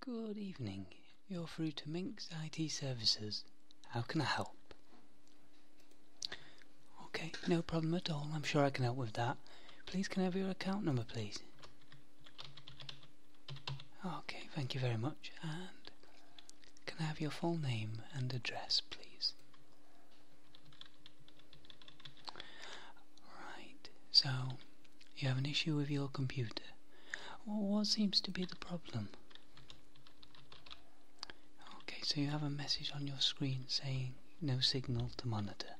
Good evening. You're through to Minx IT Services. How can I help? Okay, no problem at all. I'm sure I can help with that. Please, can I have your account number, please? Okay, thank you very much. And can I have your full name and address, please? Right, so you have an issue with your computer. what seems to be the problem? Okay, so you have a message on your screen saying no signal to monitor.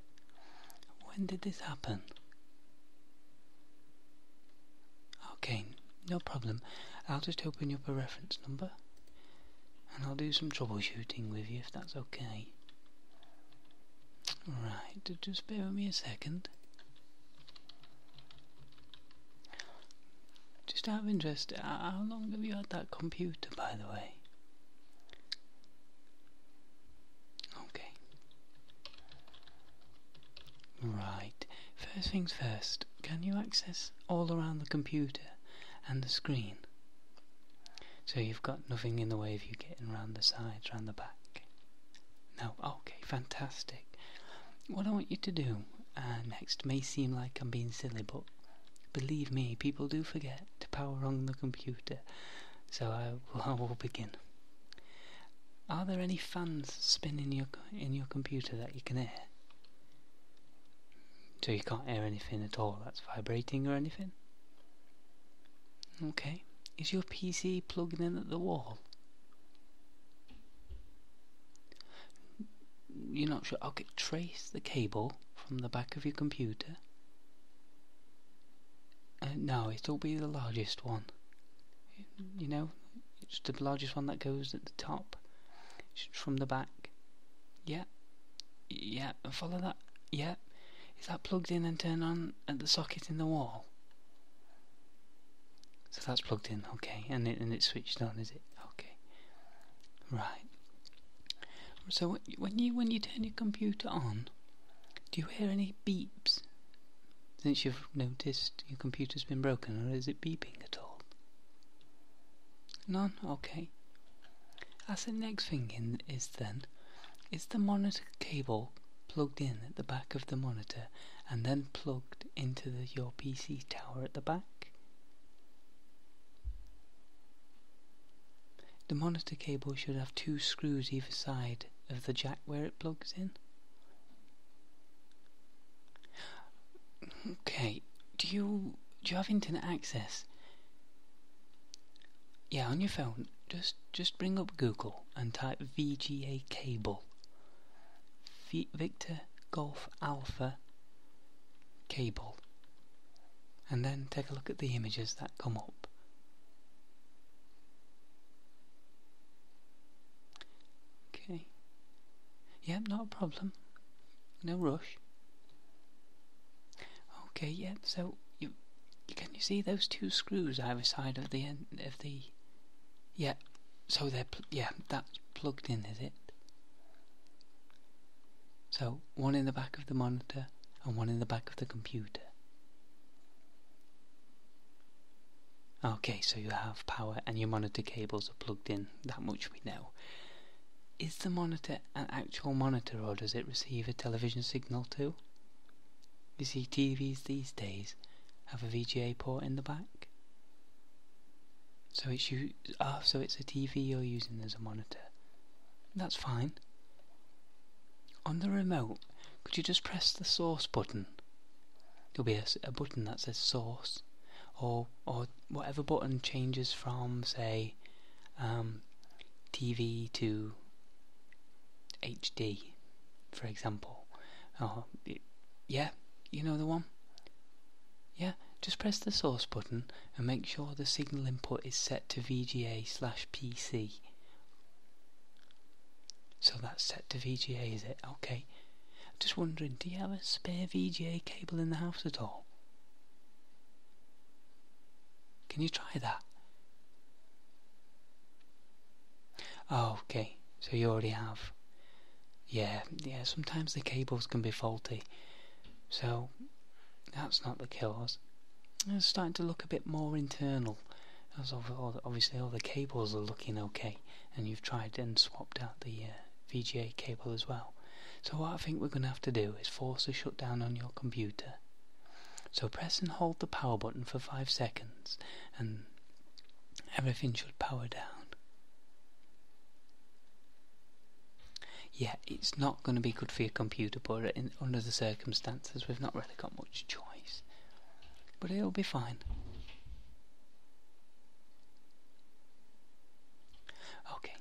When did this happen? Okay, no problem. I'll just open up a reference number and I'll do some troubleshooting with you if that's okay. Alright, just bear with me a second. Just out of interest, how long have you had that computer, by the way? Okay. Right, first things first, can you access all around the computer and the screen? So you've got nothing in the way of you getting round the sides, round the back. No, okay, fantastic. What I want you to do uh, next may seem like I'm being silly, but believe me, people do forget to power on the computer. So I will, begin. Are there any fans spinning your in your computer that you can hear? So you can't hear anything at all that's vibrating or anything. Okay. Is your PC plugged in at the wall? You're not sure? I'll Okay, trace the cable from the back of your computer. Uh, no, it'll be the largest one. You know, it's the largest one that goes at the top. It's from the back yeah, yeah. And follow that. Yeah, Is that plugged in and turned on at the socket in the wall? So that's plugged in, okay. And and it's switched on, is it? Okay. Right. So when you when you turn your computer on, do you hear any beeps? Since you've noticed your computer's been broken, or is it beeping at all? None? Okay. As the next thing is then, is the monitor cable plugged in at the back of the monitor and then plugged into your PC tower at the back? The monitor cable should have two screws either side of the jack where it plugs in. Okay, do you do you have internet access? Yeah, on your phone, just just bring up Google and type VGA cable. Victor Golf Alpha cable. And then take a look at the images that come up. Okay. Yeah, not a problem. No rush. Okay, yeah, so you, can you see those two screws either side of the end of the yeah, so they're yeah, that's plugged in, is it? So, one in the back of the monitor and one in the back of the computer. Okay, so you have power and your monitor cables are plugged in, that much we know. Is the monitor an actual monitor or does it receive a television signal too? You see, TVs these days have a VGA port in the back. So it's you. Ah, so it's a TV you're using as a monitor. That's fine. On the remote, could you just press the source button? There'll be a, a button that says source, or or whatever button changes from say um, TV to HD for example or oh, yeah you know the one yeah just press the source button and make sure the signal input is set to VGA slash PC so that's set to VGA is it okay just wondering, do you have a spare VGA cable in the house at all? Can you try that? Oh, okay. So you already have. Yeah, yeah, sometimes the cables can be faulty. So, that's not the cause. It's starting to look a bit more internal. As obviously all the cables are looking okay and you've tried and swapped out the uh, VGA cable as well. So what I think we're going to have to do is force a shutdown on your computer. So press and hold the power button for 5 seconds and everything should power down. Yeah, it's not going to be good for your computer but under the circumstances we've not really got much choice but it'll be fine. Okay,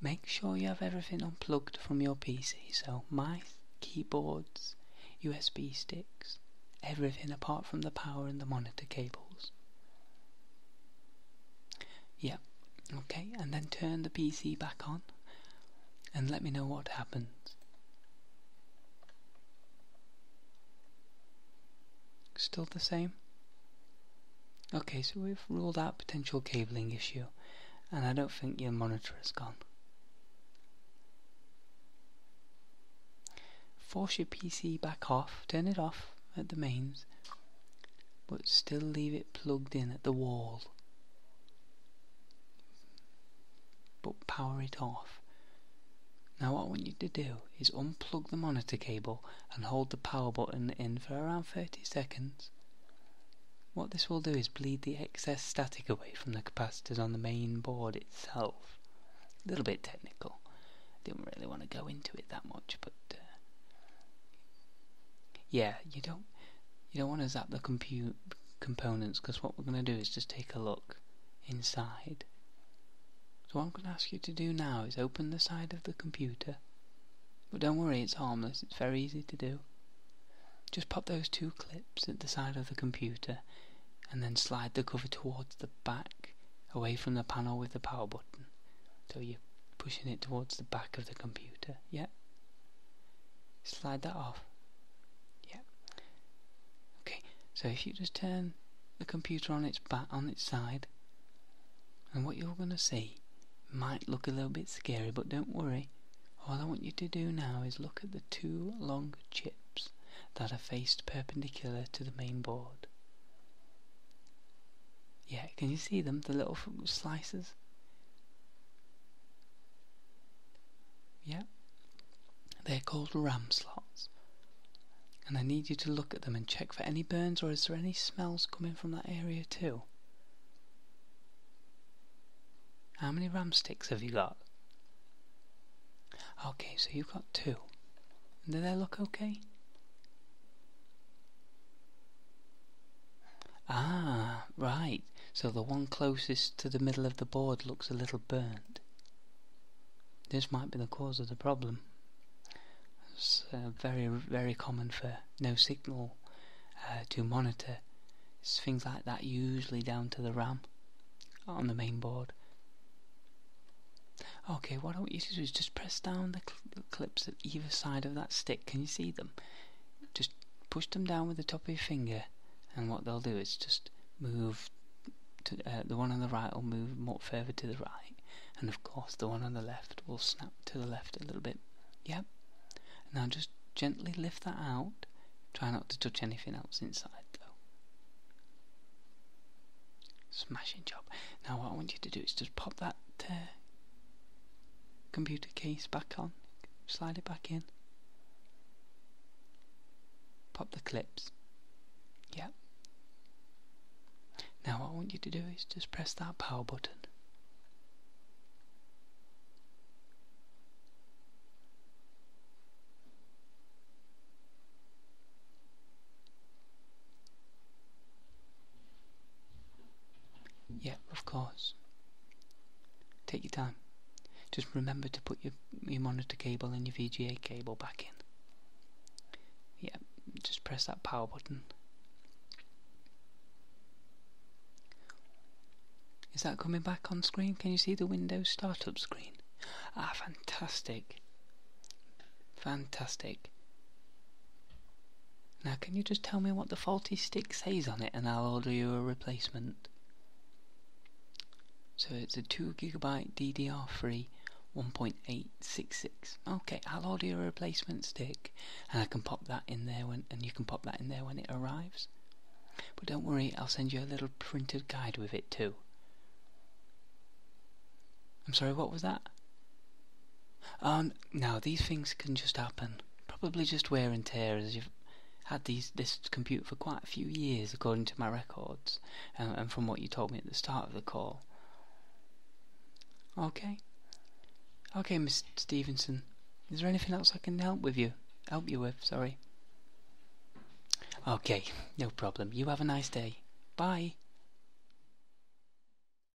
make sure you have everything unplugged from your PC. So, mice, keyboards, USB sticks, everything apart from the power and the monitor cables. Yep, okay, and then turn the PC back on and let me know what happens. Still the same? Okay, so we've ruled out potential cabling issue, and I don't think your monitor is gone. Force your PC back off, turn it off at the mains, but still leave it plugged in at the wall but power it off. Now what I want you to do is unplug the monitor cable and hold the power button in for around 30 seconds. What this will do is bleed the excess static away from the capacitors on the main board itself. A little bit technical. Didn't really want to go into it that much, but uh, yeah, you don't you don't want to zap the compute components because what we're going to do is just take a look inside. So what I'm going to ask you to do now is open the side of the computer but don't worry it's harmless, it's very easy to do. Just pop those two clips at the side of the computer and then slide the cover towards the back away from the panel with the power button so you're pushing it towards the back of the computer, yeah? Slide that off, yeah? Okay, so if you just turn the computer on its on its side, and what you're gonna see might look a little bit scary, but don't worry. All I want you to do now is look at the two long chips that are faced perpendicular to the main board. Yeah, can you see them, the little slices? Yeah? They're called ram slots. And I need you to look at them and check for any burns or is there any smells coming from that area too? How many ram sticks have you got? Okay, so you've got two. Do they look okay? Ah, right. So the one closest to the middle of the board looks a little burnt. This might be the cause of the problem. It's uh, very, very common for no signal uh, to monitor. It's things like that usually down to the RAM on the main board. Okay, what I want you to do is just press down the, the clips at either side of that stick. Can you see them? Just push them down with the top of your finger and what they'll do is just move uh, the one on the right will move more further to the right and of course the one on the left will snap to the left a little bit yep now just gently lift that out try not to touch anything else inside though smashing job now what I want you to do is just pop that uh, computer case back on, slide it back in, pop the clips, yep. Now what I want you to do is just press that power button. Yep, of course. Take your time. Just remember to put your, monitor cable and your VGA cable back in. Yeah, just press that power button. Is that coming back on screen? Can you see the Windows startup screen? Ah, fantastic. Fantastic. Now can you just tell me what the faulty stick says on it and I'll order you a replacement. So it's a 2GB DDR3 1.866. Okay, I'll order a replacement stick and I can pop that in there when and you can pop that in there when it arrives. But don't worry, I'll send you a little printed guide with it too. I'm sorry, what was that? Um, now these things can just happen. Probably just wear and tear as you've had this computer for quite a few years, according to my records, and from what you told me at the start of the call. Okay. Okay, Mr. Stevenson. Is there anything else I can help with you? Help you with, sorry. Okay, no problem. You have a nice day. Bye.